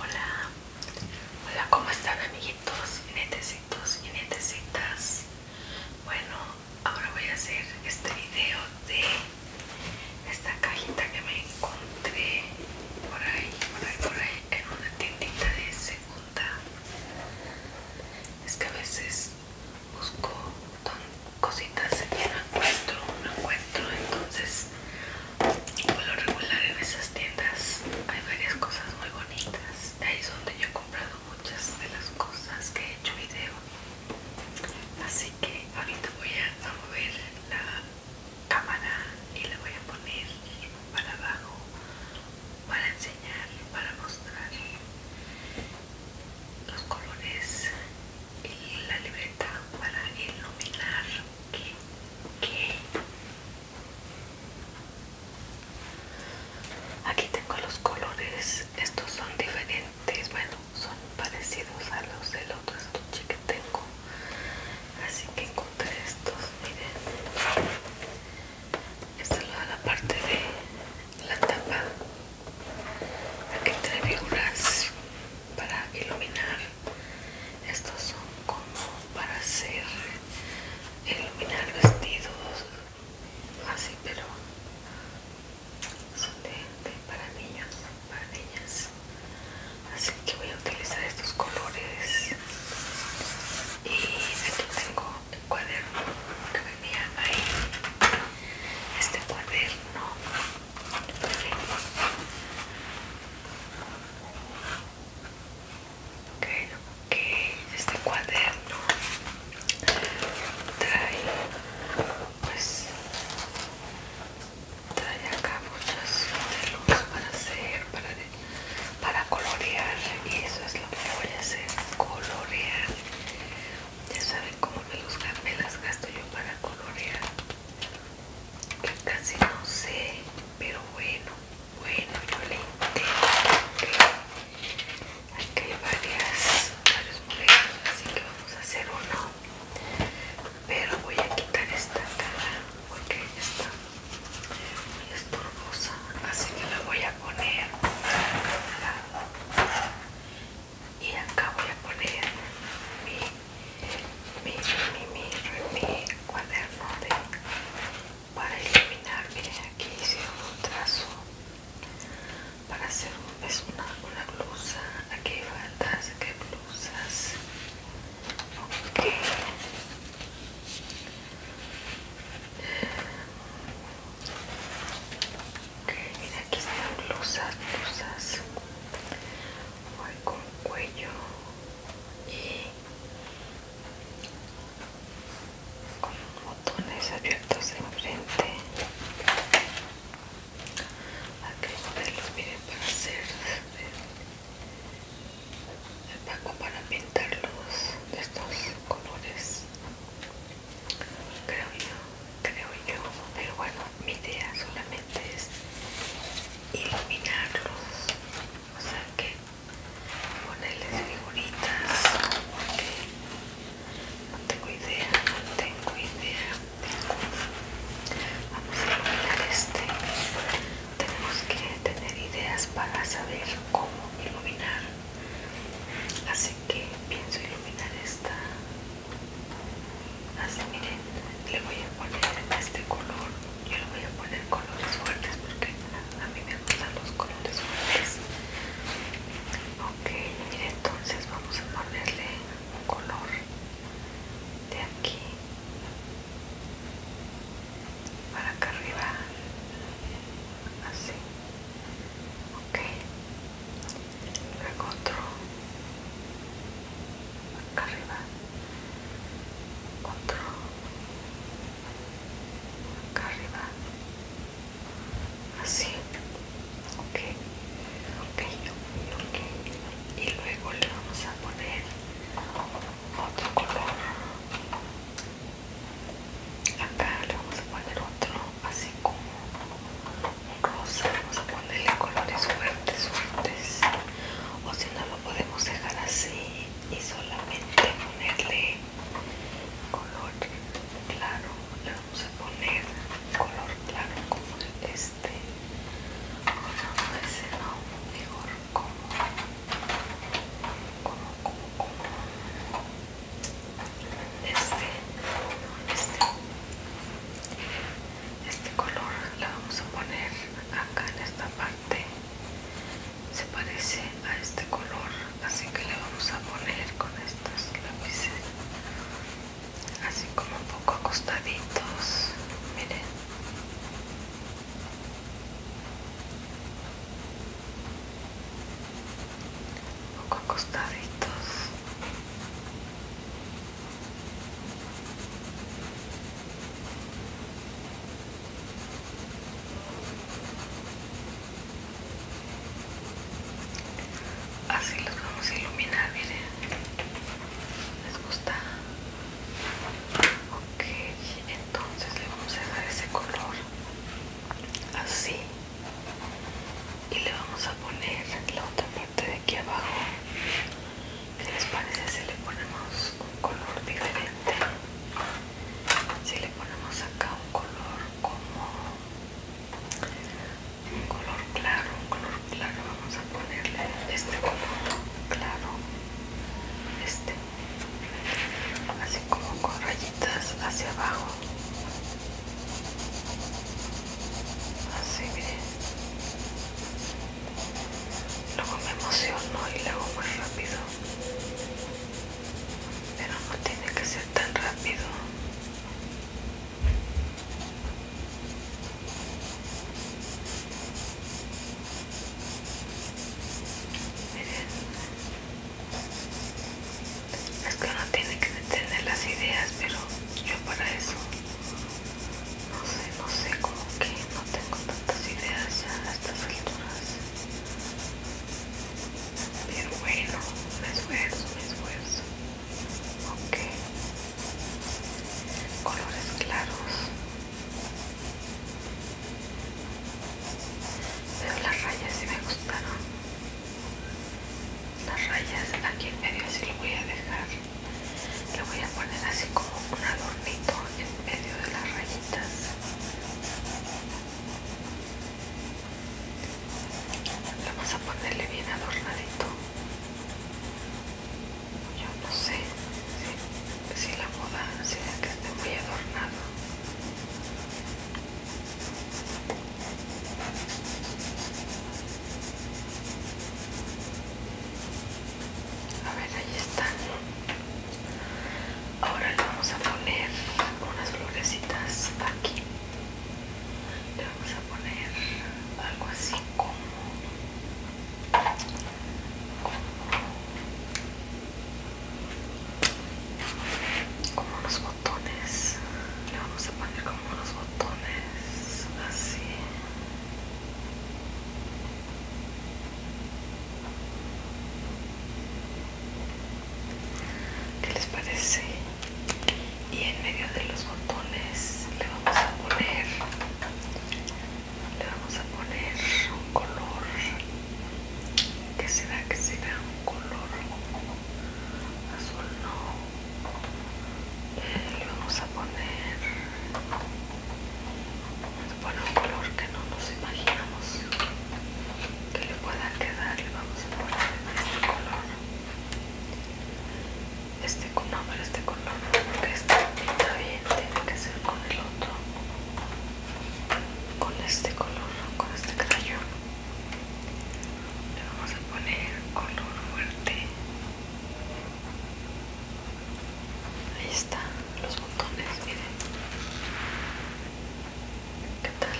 Hola, hola, ¿cómo están amiguitos y netecitos y netecitas? Bueno, ahora voy a hacer este video de esta cajita que me encontré por ahí, por ahí, por ahí, en una tiendita de segunda. Es que a veces busco cositas y no encuentro, no encuentro, entonces por lo regular en esas tiendas hay varias cosas muy bonitas ahí es donde yo he comprado muchas de las cosas que he hecho video así que ahorita voy a mover la cámara y la voy a poner para abajo para enseñar para mostrar los colores y la libreta para iluminar Aquí tengo los colores, estos son diferentes, bueno, son parecidos a los del otro estuche que tengo. Así que encontré estos, miren. Esta es la parte de la tapa. Aquí trae figuras para iluminar estos son como para hacer iluminar vestidos así pero son de, para niños para niñas así que voy a utilizar estos colores y aquí tengo el cuaderno que venía ahí este cuaderno Ok, este cuaderno trae, pues, trae acá muchas de para hacer, para, colorear y eso es lo que voy a hacer, colorear. Ya saben cómo me, los, me las gasto yo para colorear que casi no sé, pero bueno, bueno, yo le intento aquí hay varias, varios modelos, así que vamos a hacer uno. Pero voy a quitar esta cara porque está muy estorbosa, así que la voy a poner y acá voy a poner mi, mi, mi, mi, mi cuaderno de, para eliminar, miren aquí hice un trazo para hacer un, es una, blusa, aquí falta faldas, blusas ok Ok, mira aquí están blusas, blusas voy con cuello y con botones abiertos en frente aquí los miren para hacer el eh, paco para pintarlos estos colores creo yo creo yo pero bueno mi idea solamente es iluminarlos o sea que ponerles figuritas porque no tengo idea no tengo idea vamos a iluminar este tenemos que tener ideas para saber cómo iluminar así que pienso iluminar esta así miren le voy a poner este color yo le voy a poner colores fuertes porque a mí me gustan los colores fuertes ok miren entonces vamos a ponerle un color de aquí para acá arriba así ok lo acá arriba otro acá arriba así ok ok ok y luego le vamos a poner otro color acá le vamos a poner otro así como rosa, vamos a ponerle colores fuertes, fuertes, o si no lo podemos dejar así y solamente ponerle color claro, le vamos a poner color claro como este, no, mejor como, como este, este, este color la vamos a poner acá en esta parte se parece a este color así que le vamos a poner con estos lápices así como un poco acostaditos miren un poco acostaditos Así los vamos a iluminar, miren. ¿Les gusta? Ok, entonces le vamos a dar ese color así y le vamos a poner la otra parte de aquí abajo que les parece si le ponemos un color diferente? si le ponemos acá un color como un color claro un color claro vamos a ponerle este color claro este así como con rayitas hacia abajo Así mire Luego me emociono y lo hago muy rápido. Pero no tiene que ser tan rápido es que uno tiene que tener las ideas pero yo para eso no sé no sé como que no tengo tantas ideas ya a estas alturas pero bueno me esfuerzo me esfuerzo ok colores claros veo las rayas y me gustaron las rayas aquí en medio así lo voy a dejar le voy a poner así como un adornito en medio de las rayitas vamos a ponerle bien adornadito yo no sé si, la moda será que esté muy adornado a ver, ahí está. Ahora le vamos a poner unas florecitas aquí. Le vamos a poner algo así como como unos botones le vamos a poner como unos botones así ¿Qué les parece? Y en medio de los botones le vamos a poner le vamos a poner un color. ¿Qué será? que será? Un color azul no eh, le vamos a poner vamos un color que no nos imaginamos que le pueda quedar le vamos a poner este color este no este color porque este también bien tiene que ser con el otro con este color con este crayón le vamos a poner color fuerte ahí están los botones miren qué tal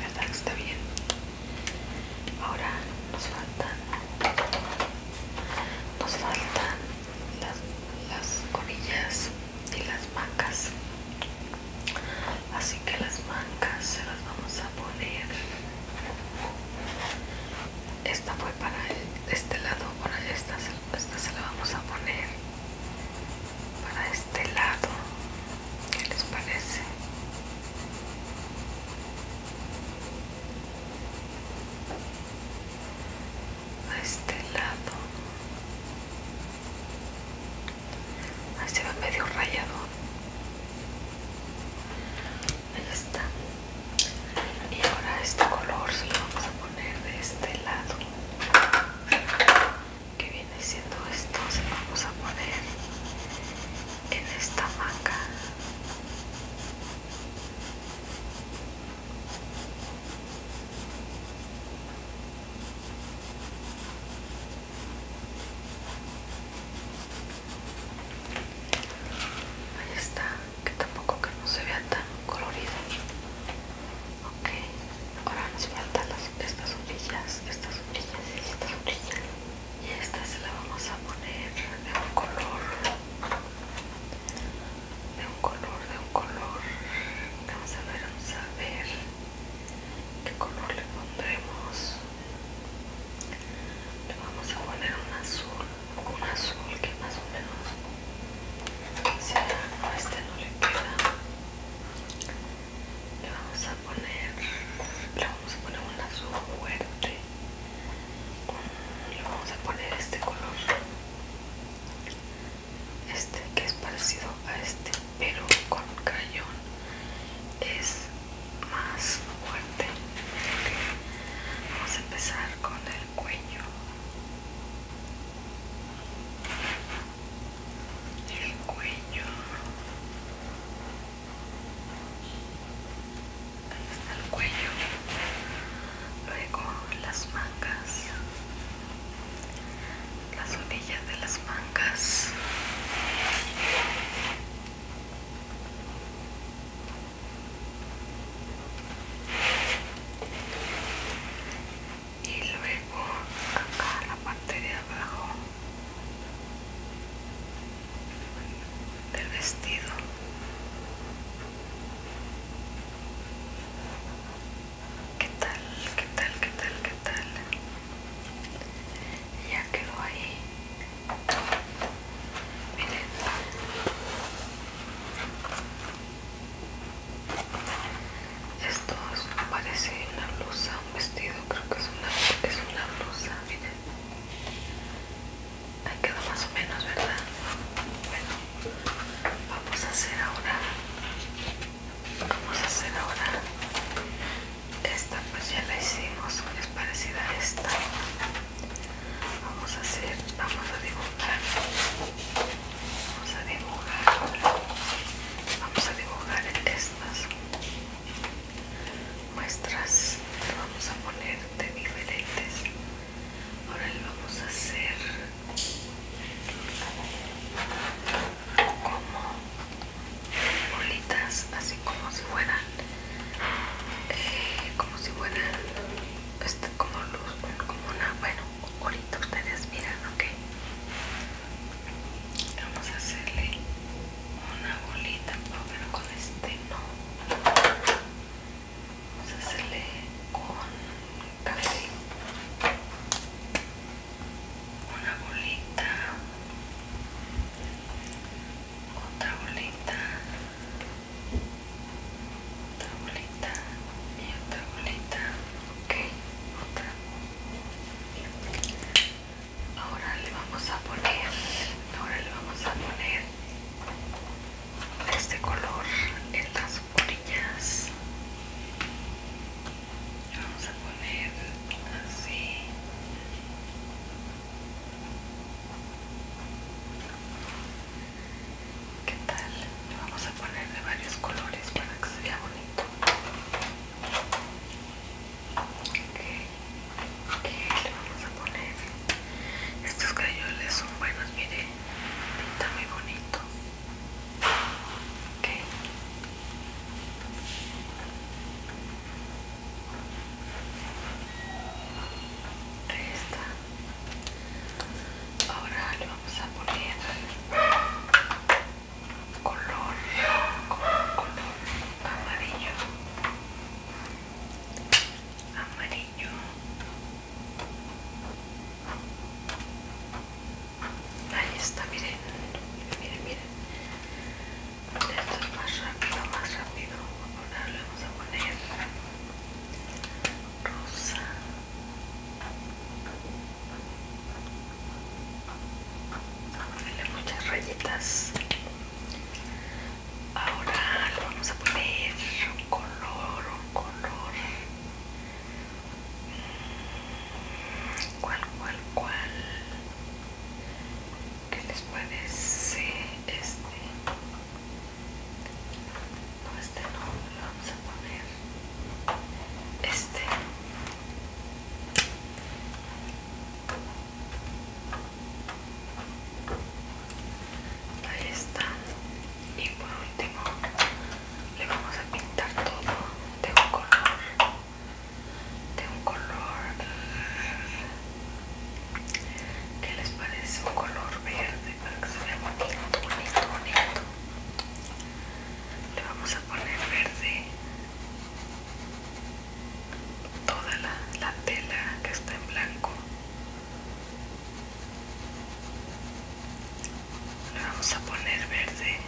verdad que está bien ahora nos faltan nos faltan las, las colillas y las mangas así que las mangas se las vamos a poner esta fue para este lado para esta, esta se la vamos a poner para este lado ¿qué les parece? a este lado ha se medio rayado. Ahí está. Y ahora este color se lo vamos a poner de este lado. Que viene siendo esto. Se lo vamos a poner en esta manga. Ahí está, que tampoco que no se vea tan colorido. Ok, ahora nos faltan estas orillas, estas orillas y estas orillas. Y esta se la vamos a poner de un color, de un color, de un color. Vamos a ver, vamos a ver. ¿Qué color le pondremos? Le vamos a poner un azul, un azul que más o menos sea. este no le queda. Le vamos a poner, le vamos a poner un azul fuerte. Le vamos a poner este color este que es parecido a este pero con crayón es más fuerte vamos a empezar con el cuello el cuello ahí está el cuello luego las mangas las orillas de las mangas y luego acá la parte de abajo del vestido ¿Qué tal? ¿Qué tal? ¿Qué tal? ¿Qué tal? Ya quedó ahí. Miren. Esto parece una blusa, un vestido, creo que es una, es una blusa, miren. Ahí quedó más o menos, ¿verdad? Bueno vamos a hacer ahora vamos a hacer ahora esta pues ya la hicimos es parecida a esta vamos a hacer vamos a dibujar vamos a dibujar vamos a dibujar estas muestras vamos a poner de diferentes ahora le vamos a hacer como bolitas así como si fueran eh, como si fueran este, como luz como una bueno ahorita ustedes miran ok vamos a hacerle una bolita pero con este no vamos a hacerle con una bolita otra bolita otra bolita y otra bolita ok otra ahora le vamos a poner ahora le vamos a poner este color en las orillas vamos a poner así ¿Qué tal? vamos a poner de varios colores para que se vea bonito. Ok, okay le vamos a poner. Estos crayoles son buenos, miren está muy bonito ok está ahora le vamos a poner color color, color amarillo amarillo ahí está miren miren miren esto es más rápido más rápido ahora le vamos a poner rosa ponerle muchas rayitas ahora lo vamos a poner color, color. ¿Cuál, cual, cual, cual que les parece este? No, este no, lo vamos a poner. Este ahí está y por último le vamos a pintar todo de un color de un color ¿qué les parece? un color verde para que se vea bonito bonito bonito le vamos a poner verde toda la, la tela que está en blanco le vamos a poner verde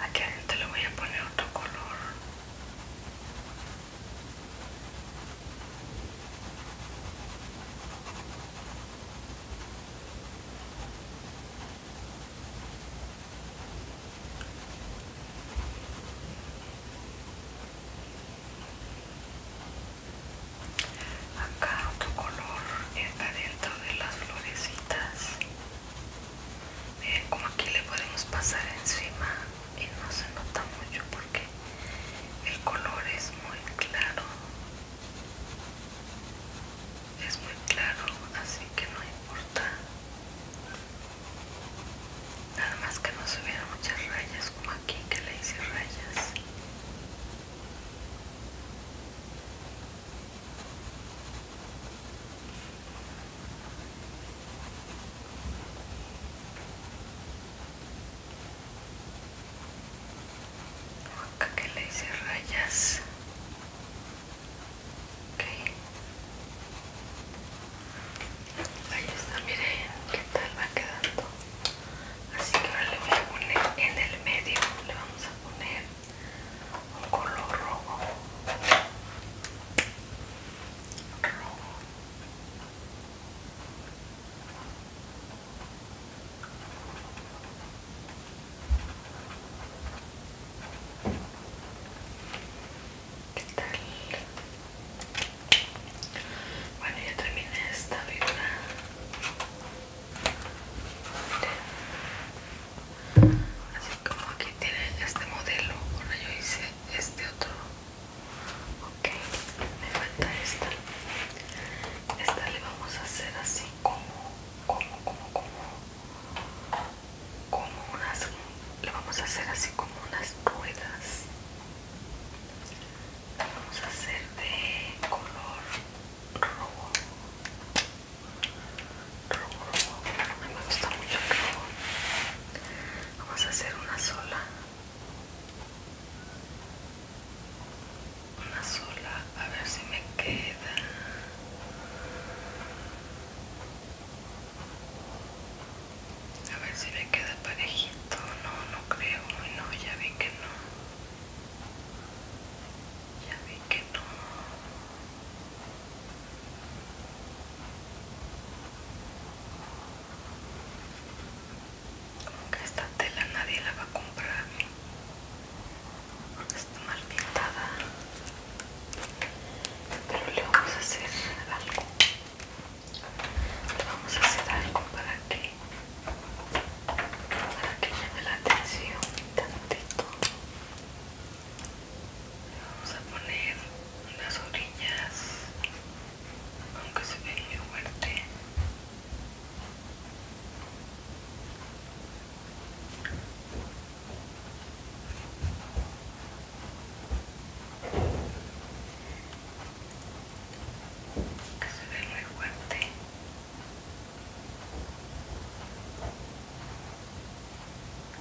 Aquí adentro le voy a poner otro color Acá otro color está dentro de las florecitas. Miren como aquí le podemos pasar encima y no se nota mucho porque el color es muy claro es muy claro así que no importa nada más que no subiera muchas rayas como aquí que le hice rayas acá que le hice rayas ok ahí está miren qué tal va quedando así que ahora le voy a poner en el medio le vamos a poner un color rojo rojo tal? Bueno, ya terminé esta figura. Así como aquí tiene este modelo, ahora yo hice este otro ok me falta esta esta le vamos a hacer así como como como como como unas le vamos a hacer así como unas ruedas vamos a hacer de color rojo rojo rojo me gusta mucho el rojo vamos a hacer una sola una sola, a ver si me queda. A ver si me queda parejito. No, no creo. No, ya vi que no. Ya vi que no como que esta tela nadie la va a comprar está mal pintada. Pero le vamos a hacer algo. vamos a hacer algo para que para que llame la atención tantito. Le vamos a poner unas orillas aunque se ve muy fuerte que se ve muy fuerte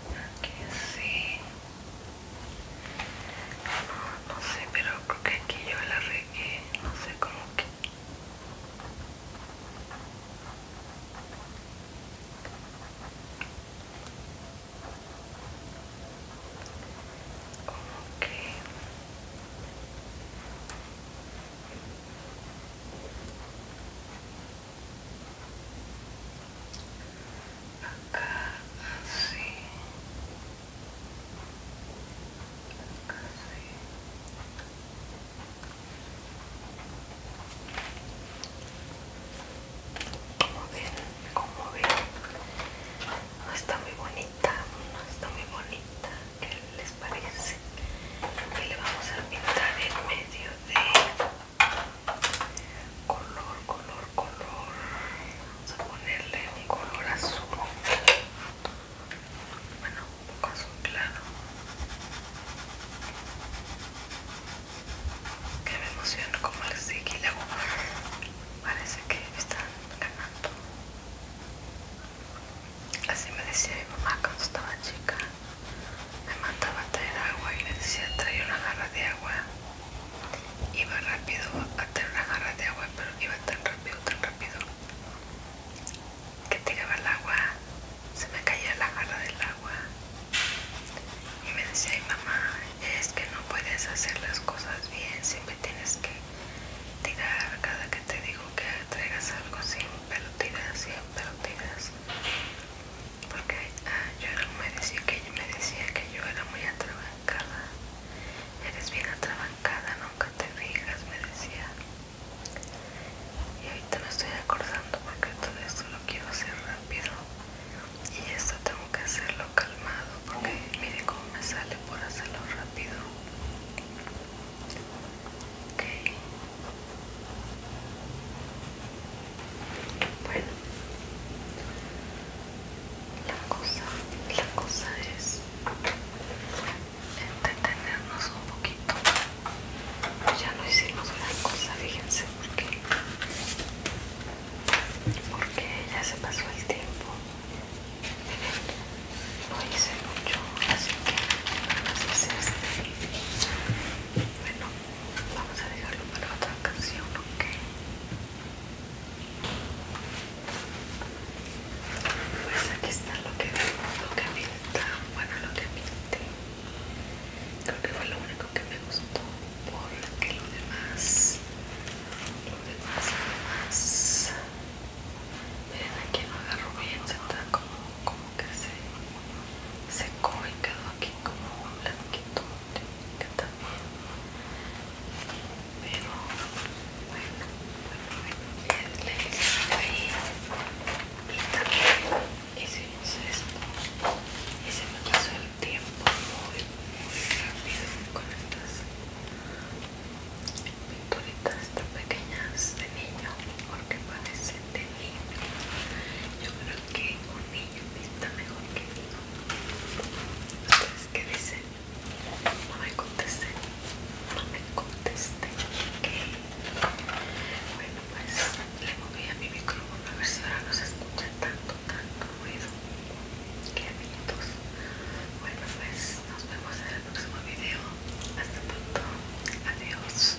aquí sí? No sé, pero creo que aquí yo la regué, no sé cómo que acá así así como ven como ven no está muy bonita no está muy bonita ¿qué les parece? y le vamos a pintar en medio de color color color Vamos a ponerle un color azul. Bueno, un poco azul claro. Que me emociona como el hago. Parece que están ganando. Así me decía mi mamá cuando estaba chica. Me mandaba a traer agua y me decía trae una garra de agua Iba rápido a tener una jarra de agua, pero iba tan rápido, tan rápido que tiraba el agua, se me caía la jarra del agua y me decía, Ay, mamá, es que no puedes hacer las cosas bien, siempre tienes que tirar cada que te digo que traigas algo, siempre lo tiras, siempre lo tiras porque ah, yo me decía que me decía que yo era muy atrabancada eres bien atrabancada nunca te digas, me decía y ahorita me estoy acordando porque todo esto lo quiero hacer rápido y esto tengo que hacerlo calmado porque mire cómo me sale por hacerlo rápido ok bueno, la cosa, la cosa es entretenernos un poquito. Ya no hicimos gran cosa, fíjense, porque porque ya se pasó el tiempo. no hice mucho, así que nada más este. Bueno. Vamos a dejarlo para otra canción ¿ok? Pues aquí está lo que lo que pinta, bueno lo que pinté. Creo que fue lo único que me gustó porque lo demás, lo demás, lo demás. Miren aquí no agarró bien, se está como, como que se secó y quedó aquí como blanquito que también pero bueno bueno hice es y también y se me pasó el tiempo muy muy rápido con estas pinturitas tan pequeñas de niño porque parecen de niño yo creo que un niño mejor que yo. qué dice No me contesté, no me contesté, ok. Bueno, pues le moví a mi micrófono a ver si ahora no se escucha tanto, tanto ruido. Qué amiguitos. Bueno, pues nos vemos en el próximo video. Hasta pronto. Adiós.